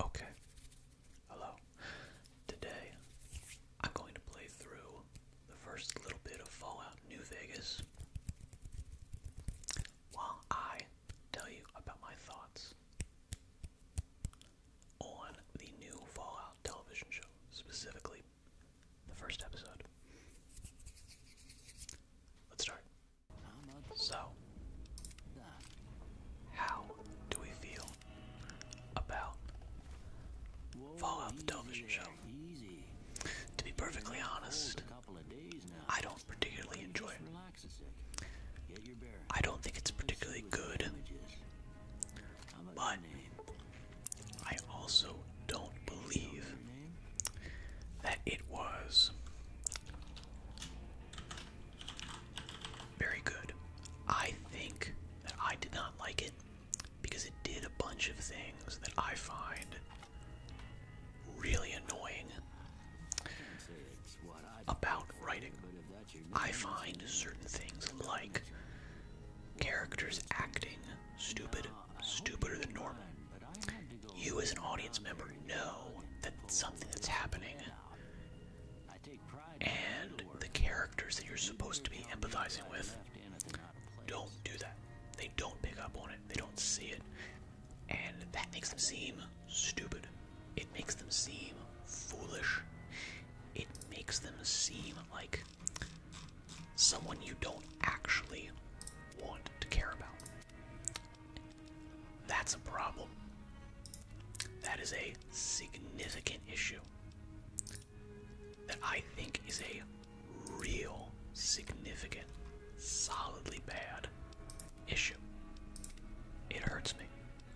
Okay. Hello. Today I'm going to play through the first little bit of Fallout New Vegas while I tell you about my thoughts on the new Fallout television show, specifically the first episode. Let's start. So, how do we feel about Fallout television show? To be perfectly honest, I don't particularly enjoy it. I don't think it's particularly good, but I also don't believe that it was very good. I think that I did not like it because it did a bunch of things that I find really annoying about writing. I find certain things like characters acting stupid, stupider than normal. You, as an audience member, know that something that's happening and the characters that you're supposed to be empathizing with don't do that. They don't pick up on it, they don't see it, and that makes them seem stupid. It makes them seem foolish. It makes them seem like someone you don't actually want to care about. That's a problem. That is a significant issue that I think is a real, significant, solidly bad issue. It hurts me.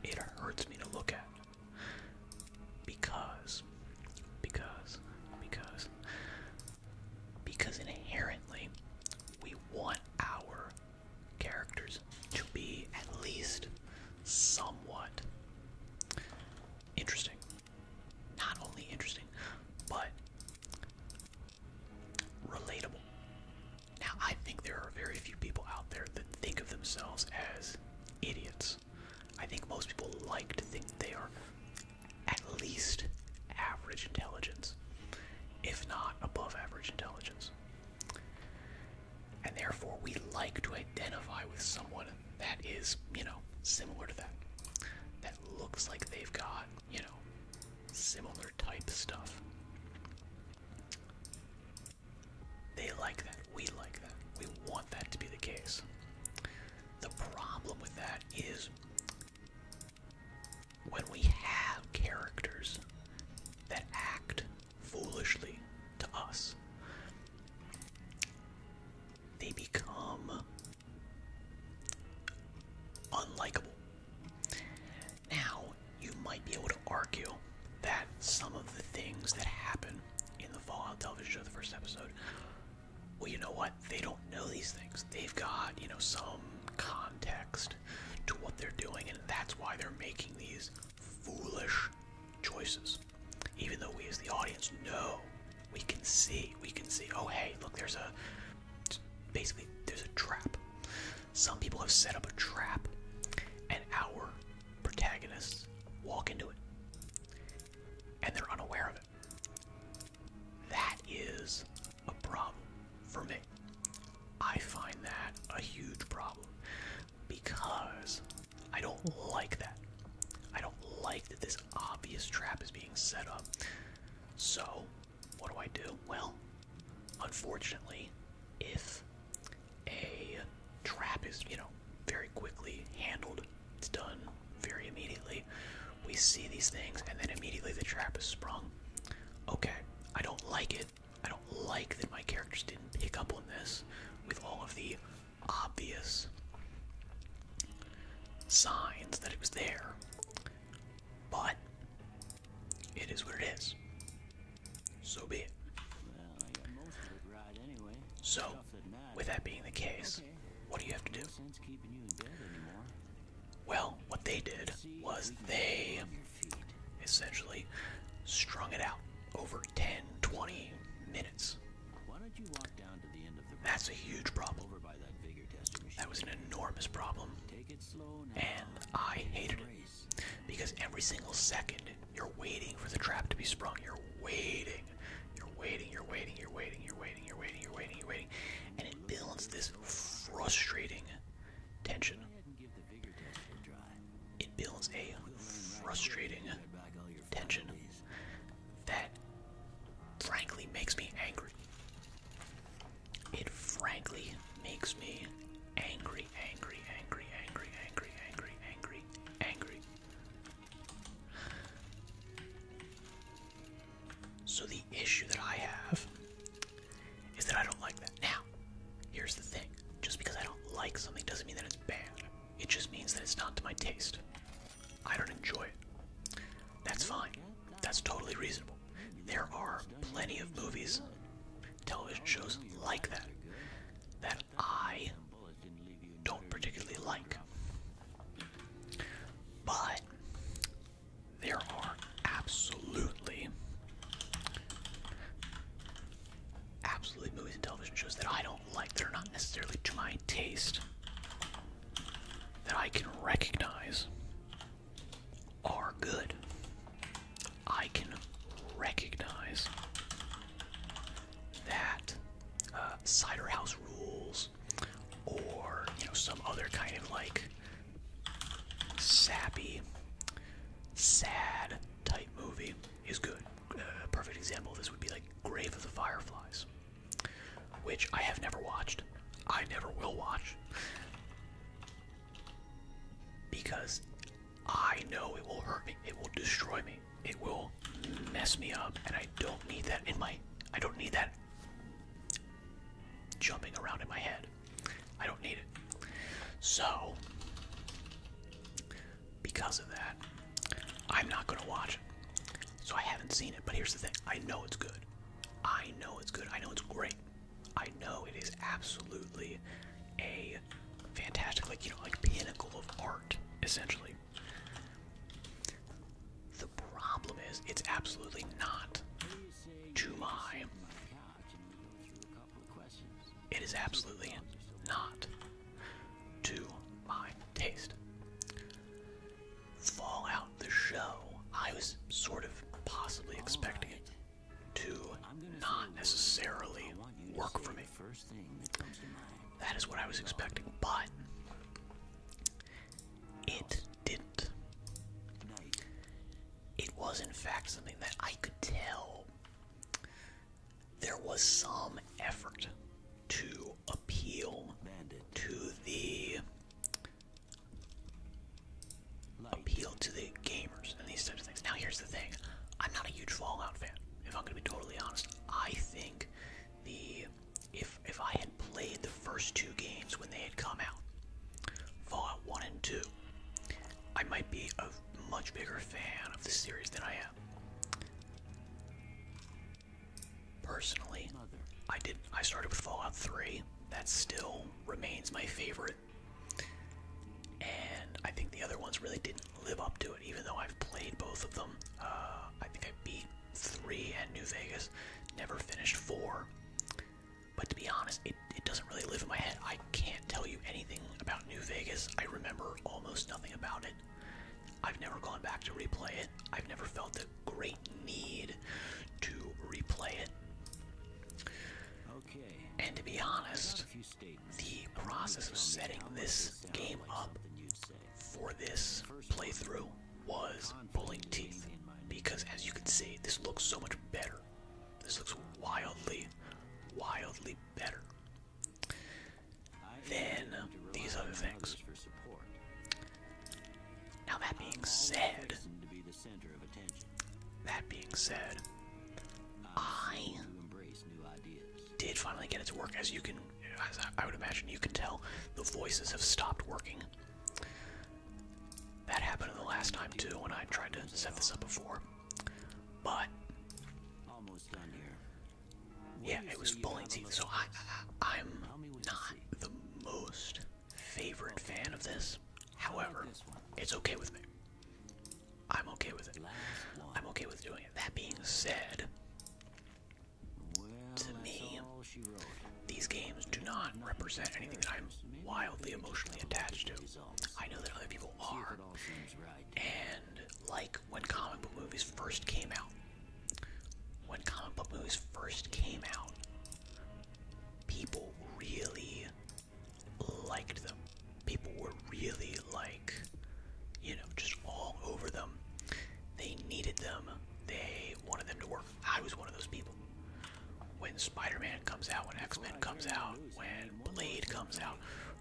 It hurts me to look at. Because, because, because, because inherently we want our characters to be at least somewhat interesting. Not only interesting, but relatable. Now, I think there are very few people out there that think of themselves as idiots. I think most people like to think they are at least average intelligence, if not above average intelligence. And therefore, we like to identify with someone that is, you know, similar to that. That looks like they've got, you know, similar type stuff. They like that. We like that. We want that to be the case. The problem with that is when we have characters that act foolishly to us. They become unlikable. Now, you might be able to argue that some of the things that happen in the Fallout television show, the first episode, well, you know what? They don't know these things. They've got, you know, some context to what they're doing, and that's why they're making these foolish choices. Even though we as the audience know, we can see, we can see, oh hey, look, there's a basically there's a trap. Some people have set up a trap and our protagonists walk into it. And they're unaware of it. That is a problem for me. I find that a huge problem because I don't like that. I don't like that this obvious trap is being set up. So, what do I do? Well, unfortunately, if a trap is, you know, very quickly handled, it's done very immediately. We see these things and then immediately the trap is sprung. Okay, I don't like it, I don't like that my characters didn't pick up on this with all of the obvious signs that it was there. But it is what it is. So be it. Well, So, with that being the case, what do you have to do? well, what they did was they feet. Essentially, strung it out over 10, 20 minutes. Why don't you walk down to the end of the That's a huge problem. Over by that, vigor tester machine. that was an enormous problem. Take it slow now. And I hated it. Because every single second, you're waiting for the trap to be sprung. You're waiting. You're waiting, you're waiting, you're waiting, you're waiting, you're waiting, you're waiting, you're waiting. And it builds this frustrating tension. It builds a frustrating tension that frankly makes me angry. It frankly makes me angry, angry, angry, angry, angry, angry, angry, angry. So the issue that I have is that I don't like that. Now, here's the thing just because I don't like something doesn't mean that it's bad, it just means that it's not to my taste. I don't enjoy it. That's fine, that's totally reasonable. There are plenty of movies, television shows like that, that I don't particularly like. But there are absolutely absolutely movies and television shows that I don't like, that are not necessarily to my taste, that I can recognize are good. I can recognize that uh, Cider House Rules or, you know, some other kind of like sappy, sad type movie is good. A perfect example this would be like Grave of the Fireflies, which I have never watched. I never will watch. Because I know it will hurt me. It will destroy me. It will mess me up. And I don't need that in my I don't need that jumping around in my head. I don't need it. So because of that, I'm not gonna watch it. So I haven't seen it, but here's the thing I know it's good. I know it's good. I know it's great. I know it is absolutely a fantastic, like, you know, like pinnacle of art, essentially. The problem is, it's absolutely not to my it is absolutely not to my taste. Fallout the show, I was sort of possibly expecting it to not necessarily work for me. That is what I was expecting, but it didn't. It was, in fact, something that I could tell there was some effort to appeal to the appeal to the gamers and these types of things. Now here's the thing. I'm not a huge Fallout fan, if I'm gonna be totally honest. I think the if if I had played the first two games when they had come out, Fallout 1 and 2, I might be a much bigger fan of the series than I am. Personally, I did. I started with Fallout 3. That still remains my favorite, and I think the other ones really didn't live up to it. Even though I've played both of them, uh, I think I beat three and New Vegas. Never finished four. But to be honest, it, it doesn't really live in my head. I can't tell you anything about New Vegas. I remember almost nothing about it. I've never gone back to replay it. I've never felt the great need to replay it. And to be honest, the process of setting this game up for this playthrough was pulling teeth. Because as you can see, this looks so much better. This looks wildly, wildly better. Then um, these other things. Now that being said, that being said, I did finally get it to work. As you can, I would imagine, you can tell the voices have stopped working. That happened the last time too when I tried to set this up before, but yeah, it was Bullington. So I, I, am not the most favorite fan of this. However, it's okay with me. I'm okay with it. I'm okay with doing it. That being said, to me, these games do not represent anything that I'm wildly emotionally attached to. I know that other people are, and like when comic book movies first came out. When comic book movies first came out, people really liked them. People were really like, you know, just all over them. They needed them. They wanted them to work. I was one of those people. When Spider Man comes out, when X Men comes out, when Blade comes out,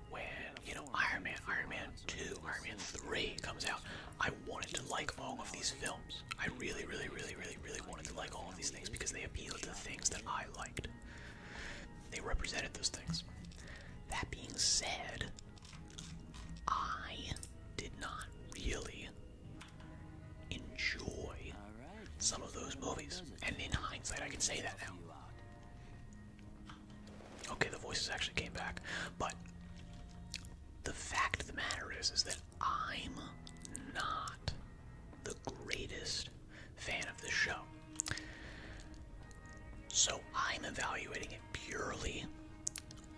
when you know Iron Man, Iron Man 2, Iron Man 3 comes out, I wanted to like all of these films. I really, really, really, really, really wanted to like all of these things because they appealed to the things that I liked. They represented those things. That being said, I did not really enjoy some of those movies. And in hindsight, I can say that now. Okay, the voices actually came back, but the fact of the matter is is that I'm not the greatest fan of the show. So I'm evaluating it purely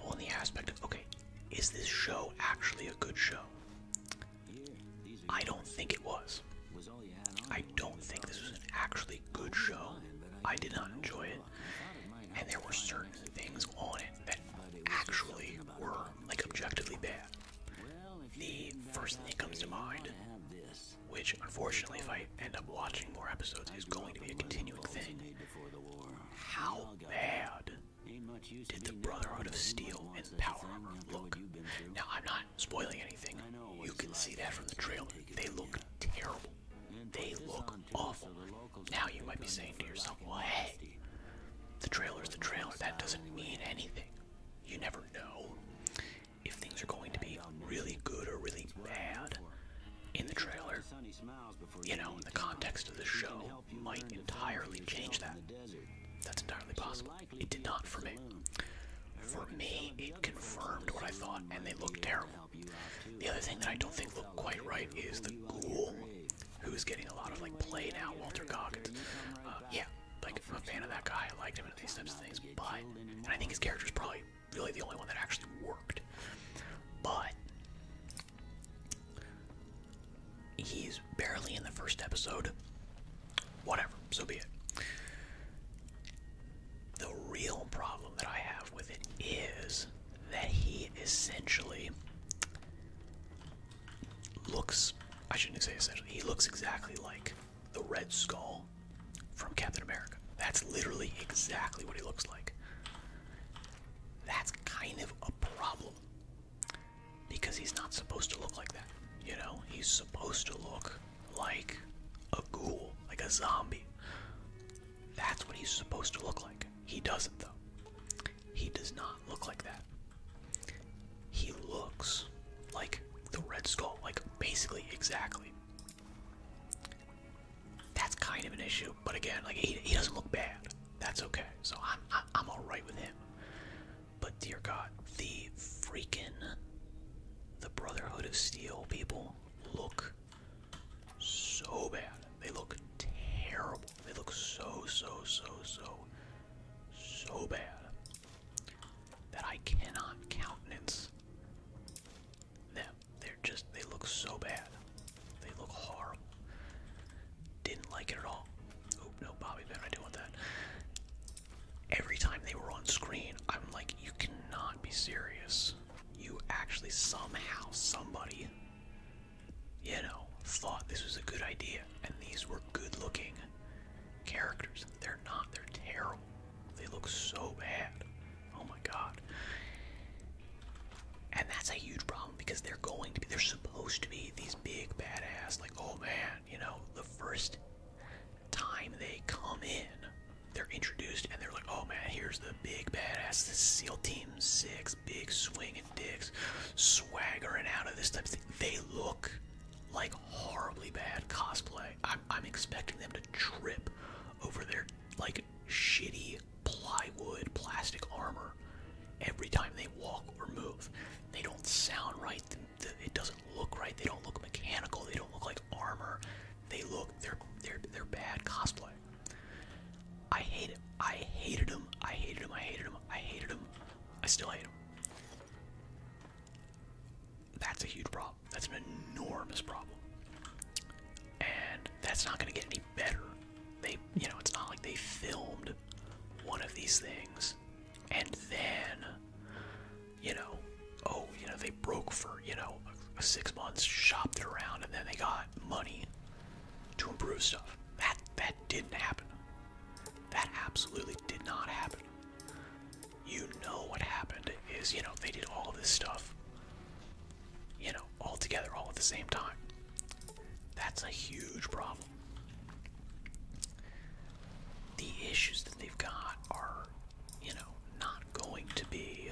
on the aspect of okay, is this show actually a good show? I don't think it was. I don't think this was an actually good show. I did not enjoy it and there were certain things on it that actually were like objectively bad. The first thing that comes to mind, which unfortunately, if I end up watching more episodes, is going to be a continuing thing. How bad did the Brotherhood of Steel and Power Armor look? Now, I'm not spoiling anything. You can see that from the trailer. They look terrible. They look awful. Now you might be saying to yourself, well, hey, the trailer's the trailer. That doesn't mean anything. You never know if things are going to be really good or really bad in the trailer. You know, in the context of the show, might entirely change that. That's entirely possible. It did not for me. For me, it confirmed what I thought, and they look terrible. The other thing that I don't think looked quite right is the ghoul, who is getting a lot of like play now. Walter Goggins, uh, yeah, like I'm a fan of that guy. I liked him in these types of things, but and I think his character is probably really the only one that actually worked. But he's barely in the first episode. Whatever, so be it. The real problem that I have with it is that he essentially looks, I shouldn't say essentially, he looks exactly like the Red Skull from Captain America. That's literally exactly what he looks like. That's kind of a problem because he's not supposed to look like that. You know, he's supposed to look like a ghoul, like a zombie. That's what he's supposed to look like. He doesn't, though. He does not look like that. He looks like the Red Skull, like basically exactly. That's kind of an issue, but again, like he, doesn't look bad. That's okay. So I'm I, am all right with him. But dear God, the freaking the Brotherhood of Steel people look so bad. They look terrible. They look so, so, so, so, so bad that I cannot countenance them. They're just, they look so bad. They look horrible. Didn't like it at all. Oh, no, Bobby Ben, I do want that. Every time they were on screen, I'm like, you cannot be serious you actually somehow, somebody, you know, thought this was a good idea and these were good looking characters. They're not, they're terrible. They look so bad. Oh my god. And that's a huge problem because they're going to be, they're supposed to be these big badass, like, oh man, you know, the first time they come in, they're introduced and they're like, oh man, here's the big badass, the SEAL Team Six, big swinging dicks, swaggering out of this type of thing. They look like horribly bad cosplay. I'm, I'm expecting them to trip over their like shitty plywood plastic armor every time they walk or move. They don't sound right. It doesn't look right. They don't look mechanical. They don't look like armor. They look they're they're they're bad cosplay. I hate it. I hated him. I hated him. I hated him. I hated him. I still hate him. That's a huge problem. That's an enormous problem. And that's not going to get any better. They, you know, it's not like they filmed one of these things and then, you know, oh, you know, they broke for you know six months, shopped it around, and then they got money to improve stuff. That that didn't happen. That absolutely did not happen. You know what happened is you know they did all this stuff, you know, all together, all at the same time. That's a huge problem. The issues that they've got are, you know, not going to be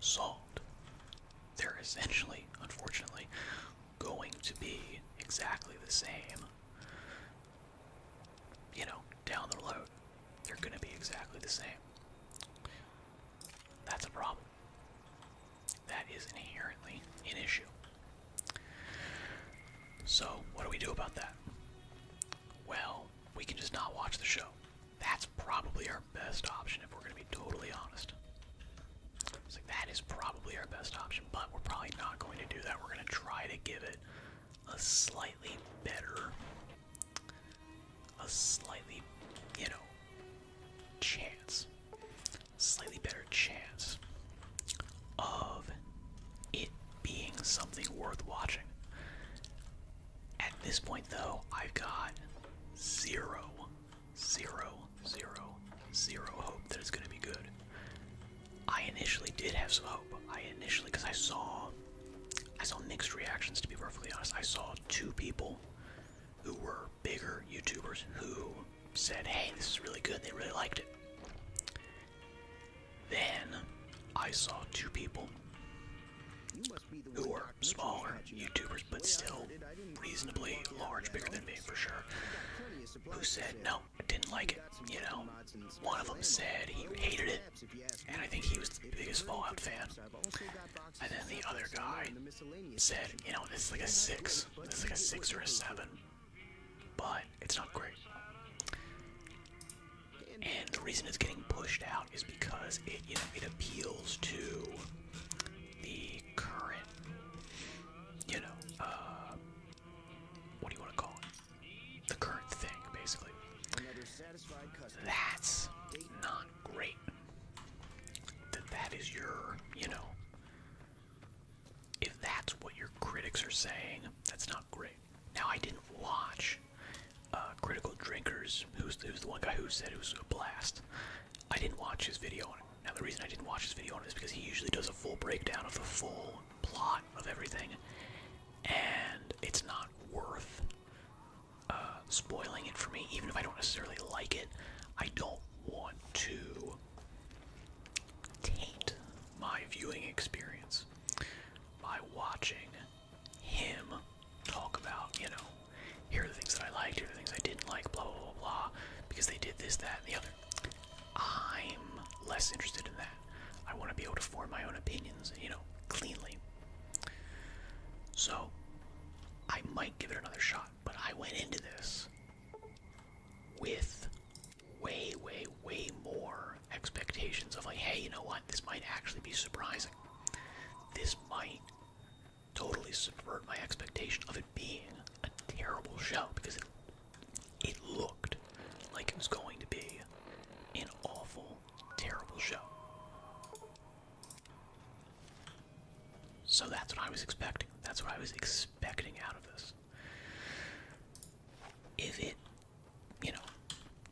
solved. They're essentially, unfortunately, going to be exactly the same. You know, down the road, they're going to be exactly the same. That's a problem. That is inherently an issue. So, what do we do about that? Well, we can just not watch the show. That's probably our best option if we're going to be totally honest. that is probably our best option, but we're probably not going to do that. We're going to try to give it a slightly better, a slightly, you know, chance, slightly better chance of it being something worth watching. At this point, though, I've got zero, zero, zero, zero hope that it's going to be good. I initially did have some hope. I initially, because I saw, I saw mixed reactions. To be perfectly honest, I saw two people who were bigger YouTubers who said, "Hey, this is really good. They really liked it." Then I saw two people who are smaller YouTubers but still reasonably large, bigger than me for sure, who said no, didn't like it. You know, one of them said he hated it, and I think he was the biggest Fallout fan. And then the other guy said, you know, it's like a six, it's like a six or a seven, but it's not great. And the reason it's getting pushed out is because it you know it appeals to the current you know uh, what do you want to call it the current thing basically that's not great that that is your you know if that's what your critics are saying that's not great now I didn't watch uh, Critical Drinkers, who's, the one guy who said it was a blast. I didn't watch his video on it. Now, the reason I didn't watch his video on it is because he usually does a full breakdown of the full plot of everything, and it's not worth uh, spoiling it for me, even if I don't necessarily like it. I don't want to taint my viewing experience by watching him talk about, you know, here are the things that I liked, here are the things I didn't like, blah, blah, blah, blah, because they did this, that, and the other. I'm less interested in that. I want to be able to form my own opinions, you know, cleanly. So, I might give it another shot, but I went into this with way, way, way more expectations of like, hey, you know what? This might actually be surprising. This might totally subvert my expectation of it being a terrible show because it, it looked like it was going to be an awful, terrible show. So that's what I was expecting. That's what I was expecting out of this. If it, you know,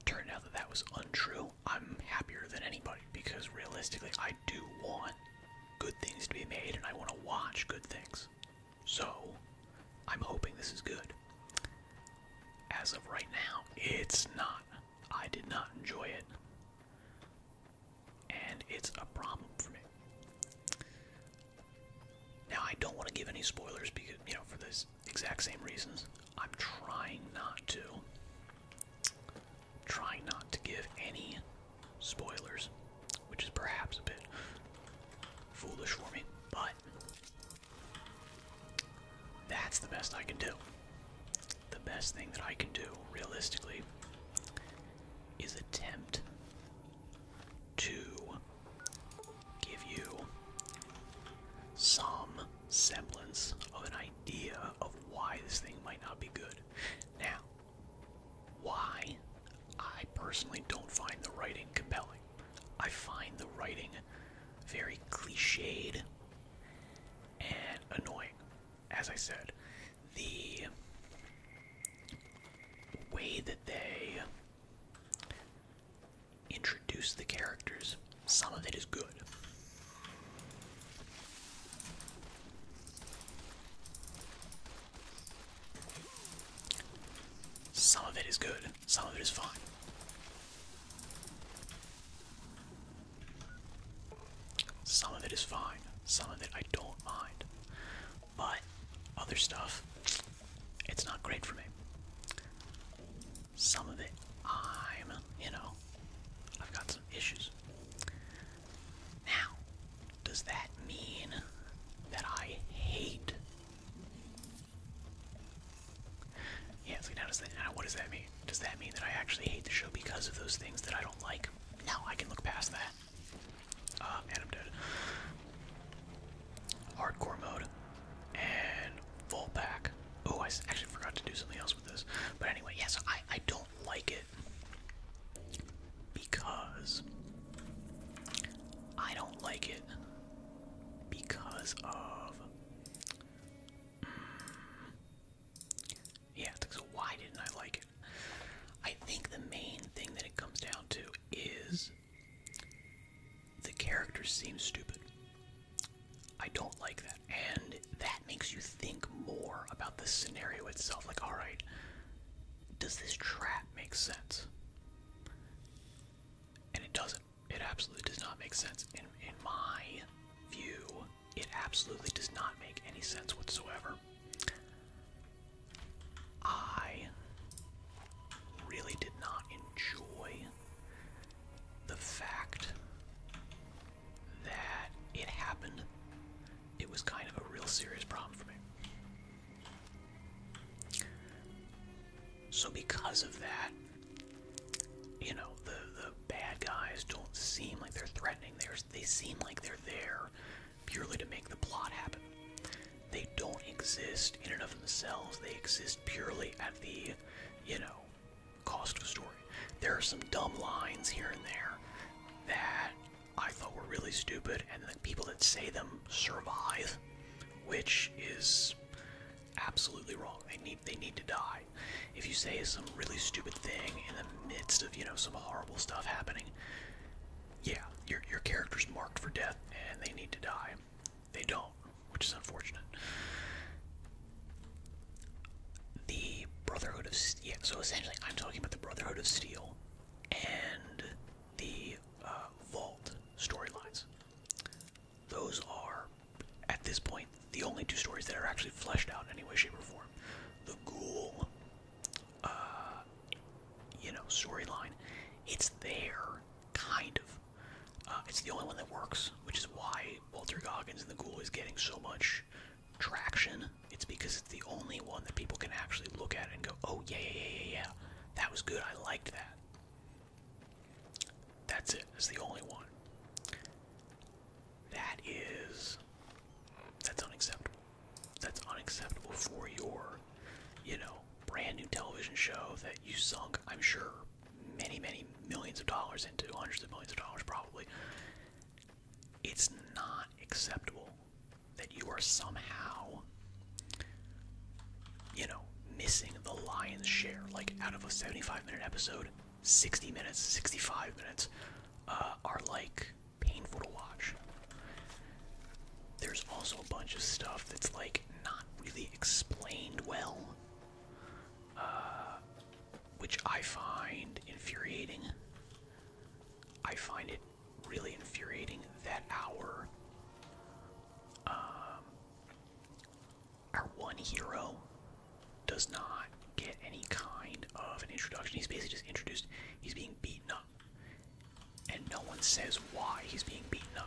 turned out that that was untrue, I'm happier than anybody because realistically, I do want good things to be made and I want to watch good things. So, I'm hoping this is good. As of right now, it's not. I did not enjoy it. And it's a problem for me. Now, I don't want to give any spoilers because, you know, for the exact same reasons. I'm trying not to trying not to give any spoilers, which is perhaps a bit foolish for me, but that's the best I can do. The best thing that I can do, realistically, is attempt to give you some semblance of an idea of why this thing might not be good. Now, why? I personally don't find the writing compelling. I find the writing very cliched and annoying. As I said, the way that they introduce the characters, some of it is good. Some of it is good, some of it is fine. Some of it is fine, some of it I don't mind. But other stuff, it's not great for me. Some of it, I'm, you know, I've got some issues. Now, does that mean that I hate? Yeah, now does that now what does that mean? Does that mean that I actually hate the show because of those things that I don't like? No, I can look past that. Uh, and Hardcore mode and full pack. Oh, I actually forgot to do something else with this. But anyway, yes, I, I don't like it because I don't like it because of mm, yeah. So why didn't I like it? I think the main thing that it comes down to is the characters seem stupid. I don't like that and that makes you think more about the scenario itself. Like, all right, does this trap make sense? And it doesn't. It absolutely does not make sense. In in my view, it absolutely does not make any sense whatsoever. I really did not enjoy the fact that it happened, it was kind of a real serious problem for me. So because of that, you know, the the bad guys don't seem like they're threatening. they they seem like they're there purely to make the plot happen. They don't exist in and of themselves. They exist purely at the, you know, cost of story. There are some dumb lines here and there that I thought were really stupid, and the people that say them survive, which is absolutely wrong. They need they need to die. If you say some really stupid thing in the midst of you know some horrible stuff happening, yeah, your your character's marked for death, and they need to die. They don't, which is unfortunate the Brotherhood of Steel. so essentially, I'm talking about the Brotherhood of Steel and the uh, Vault storylines. Those are, at this point, the only two stories that are actually fleshed out in any way, shape, or form. The Ghoul, uh, you know, storyline. It's there, kind of. Uh, it's the only one that works, which is why Walter Goggins and the Ghoul is getting so much traction, it's because it's the only one that people can actually look at and go, oh, yeah, yeah, yeah, yeah, That was good. I liked that. That's it. It's the only one. That is. That's unacceptable. That's unacceptable for your, you know, brand new television show that you sunk, I'm sure, many, many millions of dollars into, hundreds of millions of dollars probably. It's not acceptable that you are somehow, you know, missing the lion's share. Like, out of a 75 minute episode, 60 minutes, 65 minutes uh, are like painful to watch. There's also a bunch of stuff that's like not really explained well, uh, which I find infuriating. I find it really infuriating that our um, our one hero does not get any kind of an introduction. He's basically just introduced. He's being beaten up, and no one says why he's being beaten up.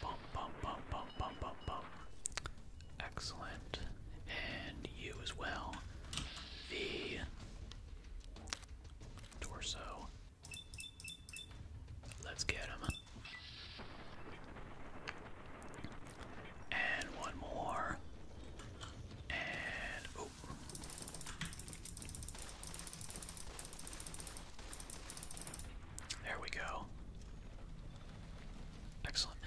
Bump, bump, bump, bump, bump, bump, bump. Excellent. And you as well. The torso. Let's get him. And one more. And there we go. Excellent.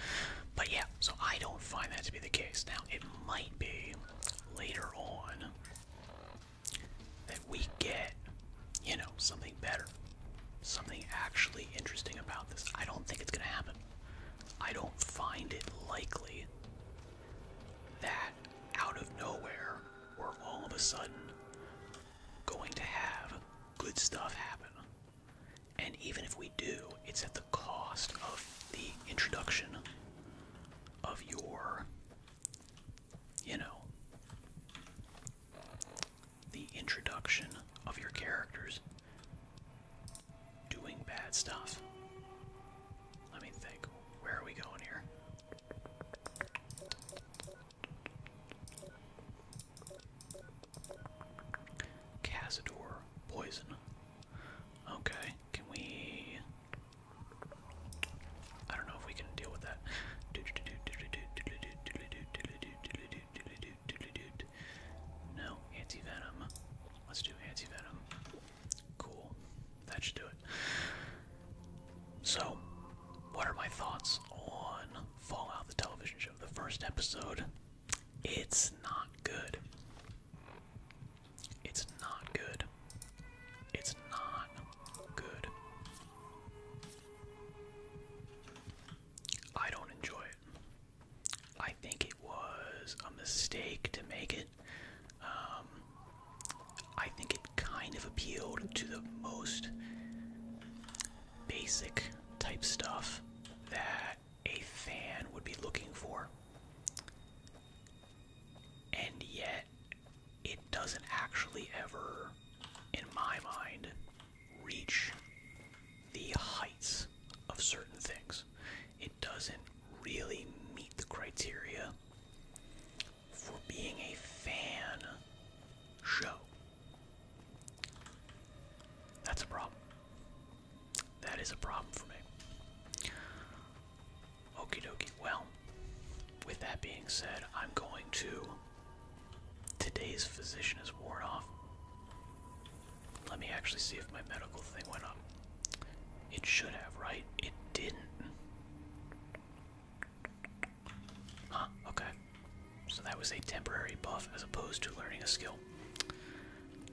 But yeah, so I don't find that to be the case. Now, it might be later on that we get, you know, something better. Something actually interesting about this. I don't think it's going to happen. I don't find it likely that out of nowhere we're all of a sudden going to have good stuff happen. And even if we do, it's at the cost of the introduction of your, you know, the introduction of your characters doing bad stuff. Let me think. Where are we going here? Cazador poison. Okay, can we? I don't know if we can deal with that. No, anti venom. Let's do anti venom. Cool. That should do it. So, what are my thoughts on Fallout the television show? The first episode, it's not good. It's not good. It's not good. I don't enjoy it. I think it was a mistake to make it it. Um, I think it kind of appealed to the most basic type stuff that a fan would be looking for. And yet, it doesn't actually ever, in my mind, reach the heights of certain things. It doesn't really meet the criteria for being a fan show. That's a problem. That is a problem for me. Okey dokey. Well, with that being said, I'm going to. Today's physician is worn off. Let me actually see if my medical thing went up. It should have, right? It didn't. Huh, okay. So that was a temporary buff as opposed to learning a skill.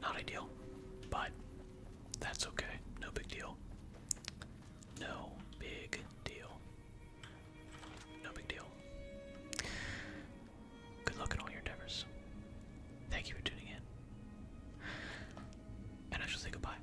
Not ideal, but that's okay. No big deal. No big deal. No big deal. Good luck in all your endeavors. Thank you for tuning in. And I shall say goodbye.